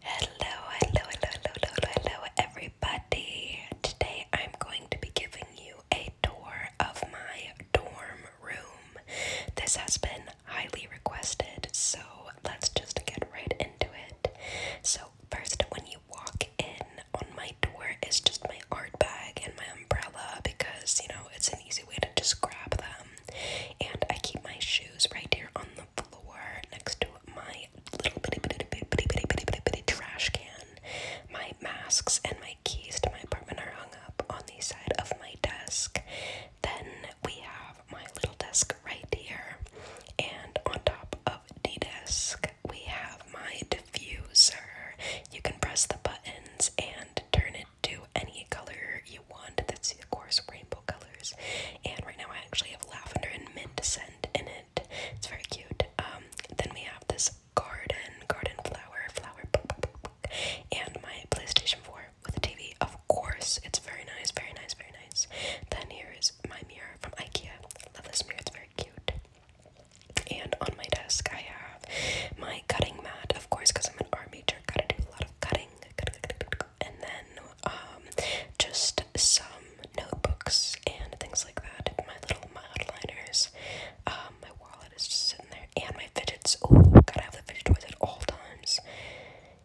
Hello, hello, hello, hello, hello, everybody. Today I'm going to be giving you a tour of my dorm room. This has been highly requested, so let's just get right into it. So, first, when you walk in on my door, is just my art bag and my umbrella because you know it's an easy way to just grab them and I keep my shoes right here on the floor next to my little bitty bitty bitty bitty bitty bitty bitty, trash can. My masks and my keys to my apartment are hung up on the side of my desk. Then we have my little desk right here, and on top of the desk we have my diffuser. You can press the buttons and turn it to any color you want. That's of course rainbow colors. And right now I actually have lavender and mint scent in it. It's very cute. Um, then we have this garden, garden flower, flower, and my PlayStation 4 with a TV. Of course, it's very nice, very nice, very nice. Then here is my mirror from IKEA. love this mirror, it's very cute. And on my desk, I have my cutting mat, of course, because I'm an art major, gotta do a lot of cutting. And then um, just some notebooks and things like that. My little modeliners. Um, my wallet is just sitting there. And my fidgets. Oh, gotta have the fidget toys at all times.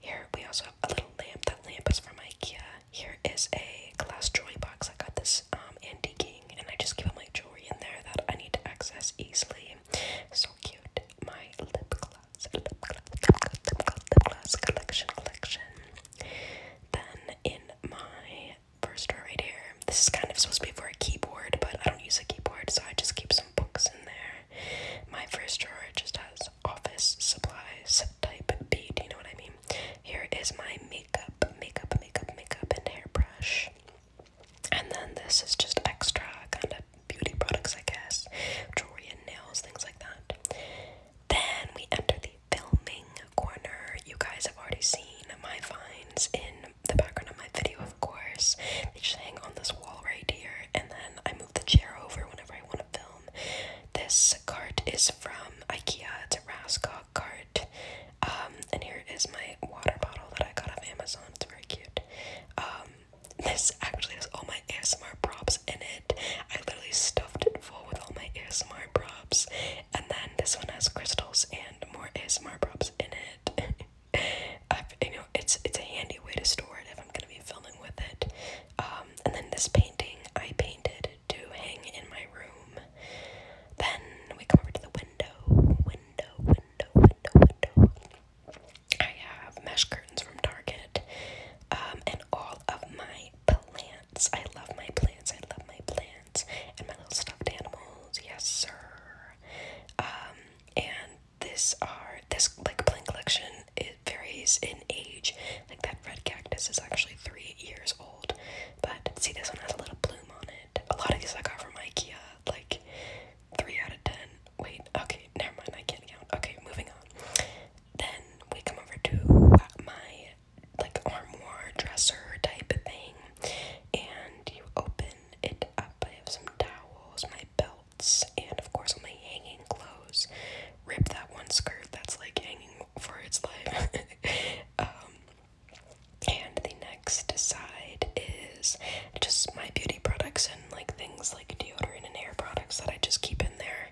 Here we also have a little lamp. That lamp is from Ikea. Here is a glass jewelry box. I got this um, antiquing, and I just keep all my jewelry in there that I need to access easily. So cute. My lip gloss, lip gloss, lip gloss, lip gloss, collection, collection. Then in my first row right here, this is kind of supposed to be for a keyboard, but I don't use a keyboard, so I just keep some books in there. My first drawer just has office supplies type B. Do you know what I mean? Here is my makeup, makeup, makeup, makeup, and hairbrush. And then this is just extra kind of beauty products, I guess. Jewelry and nails, things like that. Then we enter the filming corner. You guys have already seen my finds in the background of my video, of course. They just hang on this wall right here, and then I move the chair over whenever I want to film. This cart is from IKEA. It's a Raskog cart. Um, and here is my water bottle that I got off Amazon. It's very cute. Um, this actually has all my ASMR props in it. I literally stuffed it full with all my ASMR props. And then this one has crystals and more ASMR props in it. i you know, it's it's a handy way to store it if I'm gonna be filming with it. Um, and then this painting I painted to hang in my room. Then we come over to the window, window, I have mesh curtains from Target, um, and all of my plants. I love my plants. I love my plants and my little stuffed animals. Yes, sir. Um, and this are this like plant collection. It varies in age. Like that red cactus is actually three years old, but see this one has a little bloom on it. A lot of these I got from IKEA like three out of ten. Wait, okay, never mind. I can't count. Okay, moving on. Then we come over to my like armoire dresser type thing, and you open it up. I have some towels, my belts, and of course all my hanging clothes. Rip that one skirt that's like hanging for its life. um, and the next side is just my beauty products and like things like deodorant and hair products that I just keep in there.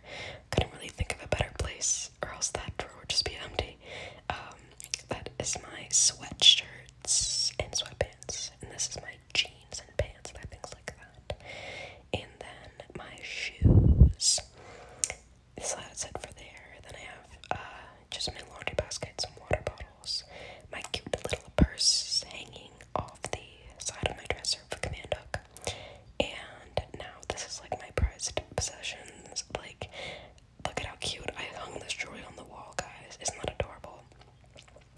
Couldn't really think of a better place, or else that drawer would just be empty. Um, that is my sweatshirts and sweatpants, and this is my jeans and pants and things like that. And then my shoes so that's it for there. Then I have uh, just my laundry basket, some water bottles, my cute little purse hanging off the side of my dresser for command hook, and now this is like my prized possessions. Like, look at how cute I hung this jewelry on the wall, guys. It's not adorable?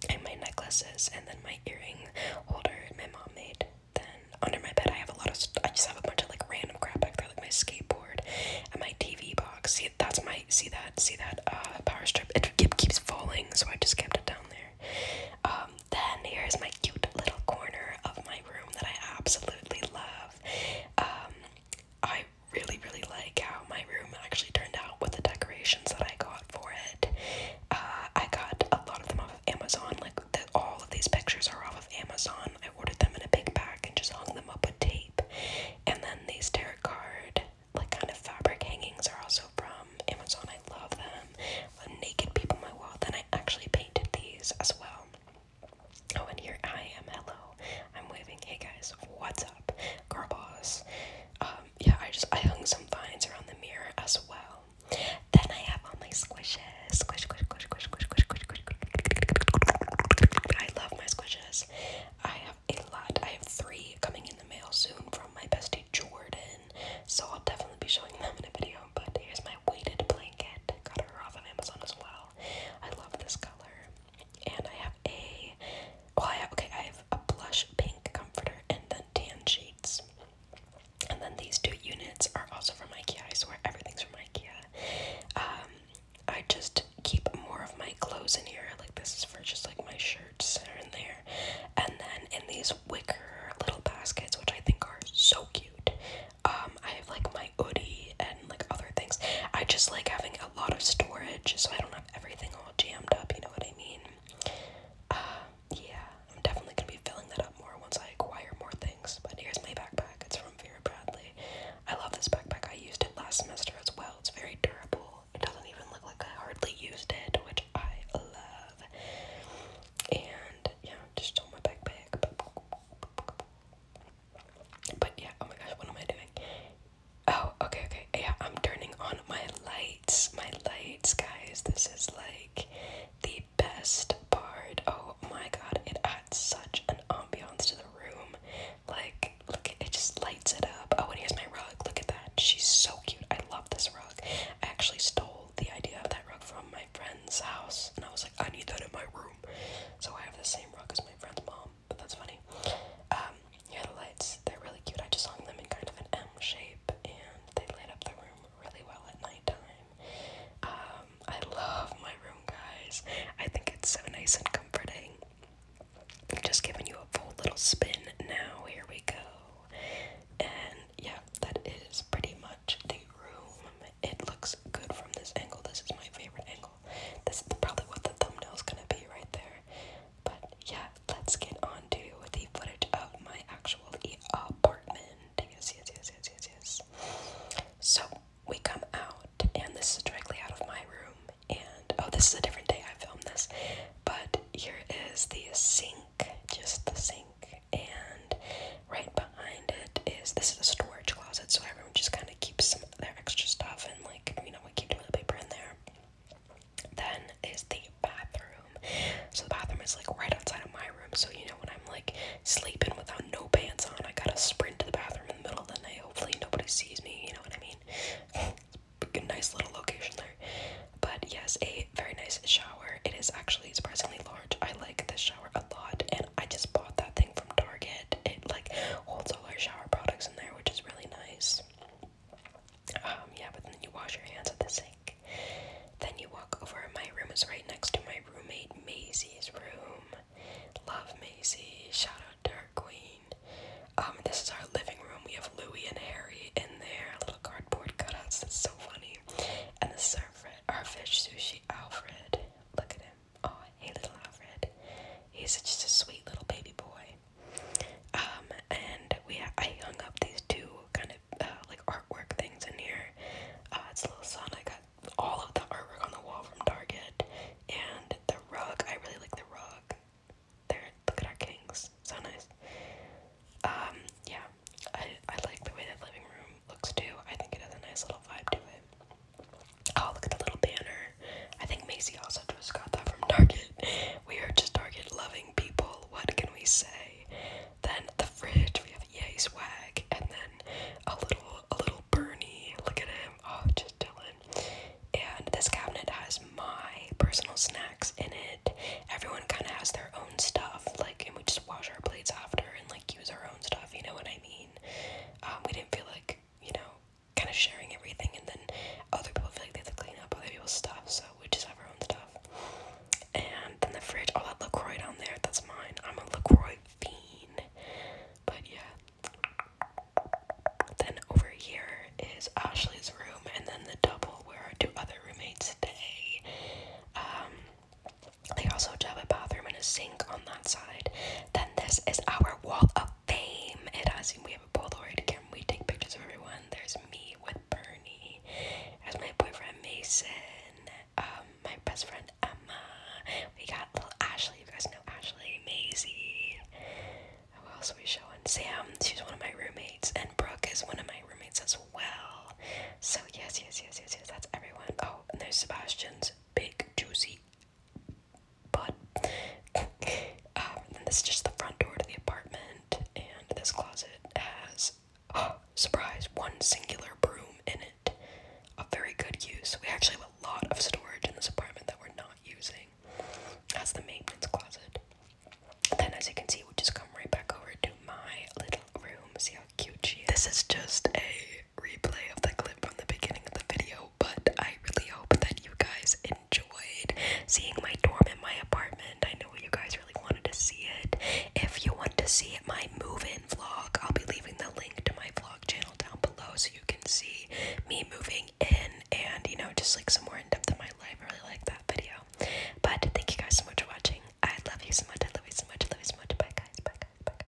And my necklaces, and then my earring holder my mom made. Then under my bed, I have a lot of. I just have a bunch of like random crap back there like my skateboard and my TV box. See, that's my see that see that uh, power strip. It keeps falling, so I just kept it down there. Um, then here is my cute little corner of my room that I absolutely love. Um, I really really like how my room actually turned out with the decorations that I got for it. Uh, I got a lot of them off Amazon. Like all of these pictures are off of Amazon. I ordered them in a big pack and just hung them up with tape. And then these tarot card, like kind of fabric hangings, are also from Amazon. I love them. naked people my wall. Then I actually painted these as well. Oh, and here I am. Hello. I'm waving. Hey guys, what's up? Girl boss. Um, yeah, I just I hung some vines around the mirror as well. Then I have all my squishes. Squish, squish, squish, squish, squish, squish, squish, squish. I love my squishes. I have a lot. I have three coming in the mail soon from my bestie Jordan. So I'll definitely be showing them in a video. But here's my weighted blanket. Got her off of Amazon as well. I love this color. And I have a Oh, I have, okay, I have a blush pink comforter and then tan sheets. And then these two units are also from IKEA. I swear everything's from IKEA. Um, I just keep more of my clothes in here. Like this is for just like my shirts are there. And then in these wicker little baskets, which I think are so cute. Um, I have like my hoodie and like other things. I just like having a lot of storage so I don't have everything all jammed up, you know what I mean? Um, yeah, I'm definitely gonna be filling that up more once I acquire more things. But here's my backpack. It's from Vera Bradley. I love this backpack. I used it last semester as well. It's very durable. It doesn't even look like I hardly used it, which I love. And yeah, just stole my backpack. But yeah, oh my gosh, what am I doing? Oh, okay, okay. Yeah, I'm turning on my lights. My lights, guys. This is like the best part. Oh my god, it adds such an ambiance to the room. Like, look, it just lights it up. Oh, and here's my rug. Look at that. She's so cute. I love this rug. I actually stole the idea of that rug from my friend's house, and I was like, I need that in my room. So I have the same rug as my friend's mom, but that's funny. Um, yeah, the lights, they're really cute. I just hung them in kind of an M shape, and they light up the room really well at nighttime. Um, I love my room, guys. I think it's so nice and comforting. just giving you a full little spin now. Here we go. And yeah, that is pretty much the room. It looks good from this angle. This is my favorite angle. This is probably what the thumbnail is going to be right there. But yeah, let's get on to the footage of my actual uh, apartment. Yes, yes, yes, yes, yes, yes. So we come out, and this is directly out of my room. And oh, this is a different day I filmed this, but here is the sink, just the sink, and right behind it is this is a storage closet, so everyone just kind of keeps some of extra stuff and like you know we keep toilet paper in there. Then is the bathroom. So the bathroom is like right outside of my room. So you know when I'm like sleeping without no pants on, I gotta sprint to the bathroom in the middle of the night. Hopefully nobody sees me. You know what I mean? Good, nice little location there. But yes, a very nice shower. It is actually surprisingly large. I like this shower a lot, and I just bought that thing from Target. It like holds all our shower products in there, which is really nice. Um, yeah, but then you wash your hands at the sink. Then you walk over. My room is right next to my roommate Maisie's room. Love Maisie. Shout out to her queen. Um, this is our living room. We have Louis and Harry in there. Little cardboard cutouts. That's so funny. And the is our, fr our fish sushi, Alfred. Look at him. Oh, hey, little Alfred. He's just a sweet little baby boy. Um, and we I hung up these two kind of uh, like artwork things in here. Uh, it's a little sun. I got all of the artwork on the wall from Target, and the rug. I really like the rug. There, look at our kings. So nice. Um, yeah, I I like the way that living room looks too. I think it has a nice little vibe to it. Oh, look at the little banner. I think Macy also just got that from Target. We are just Target loving people. What can we say? Then the fridge. We have Yay Swag, and then a little, a little Bernie. Look at him. Oh, just Dylan. And this cabinet has my personal snacks in it. Everyone kind of has their own stuff, like, and we just wash our plates after and like use our own stuff. You know what I mean? Um, we didn't feel like you know kind of sharing everything, and then other people feel like they have to clean up other people's stuff, so we just have our own stuff. And then the fridge, all oh, that LaCroix on there, that's mine. I'm a LaCroix fiend. But yeah. Then over here is Ashley's room, and then the double where our two other roommates stay. Um, they also have a bathroom and a sink on that side. Then this is our wall up fame. It has we have a Polaroid camera. We take pictures of everyone. There's me with Bernie. as my boyfriend Mason. Um, my best friend Emma. We got little Ashley. You guys know Ashley. Maisie. Who else are we showing? Sam. She's one of my roommates, and Brooke is one of my roommates as well. So yes, yes, yes, yes, yes. That's everyone. Oh, and there's Sebastian's big juicy but um, this is just the front door to the apartment, and this closet has oh, surprise one singular broom in it. A very good use. We actually have a lot of storage in this apartment that we're not using. That's the maintenance closet. Then, as you can see, we just come right back over to my little room. See how cute she is. This is just a replay of the clip from the beginning of the video, but I really hope that you guys enjoyed seeing my dorm in my apartment. I know you guys really wanted to see it. If you want to see my move-in vlog, I'll be leaving the link to my vlog channel down below so you can see me moving in and, you know, just like some more in-depth of my life. I really like that video. But thank you guys so much for watching. I love you so much. I love you so much. I love you so much. Bye guys. Bye guys. Bye guys.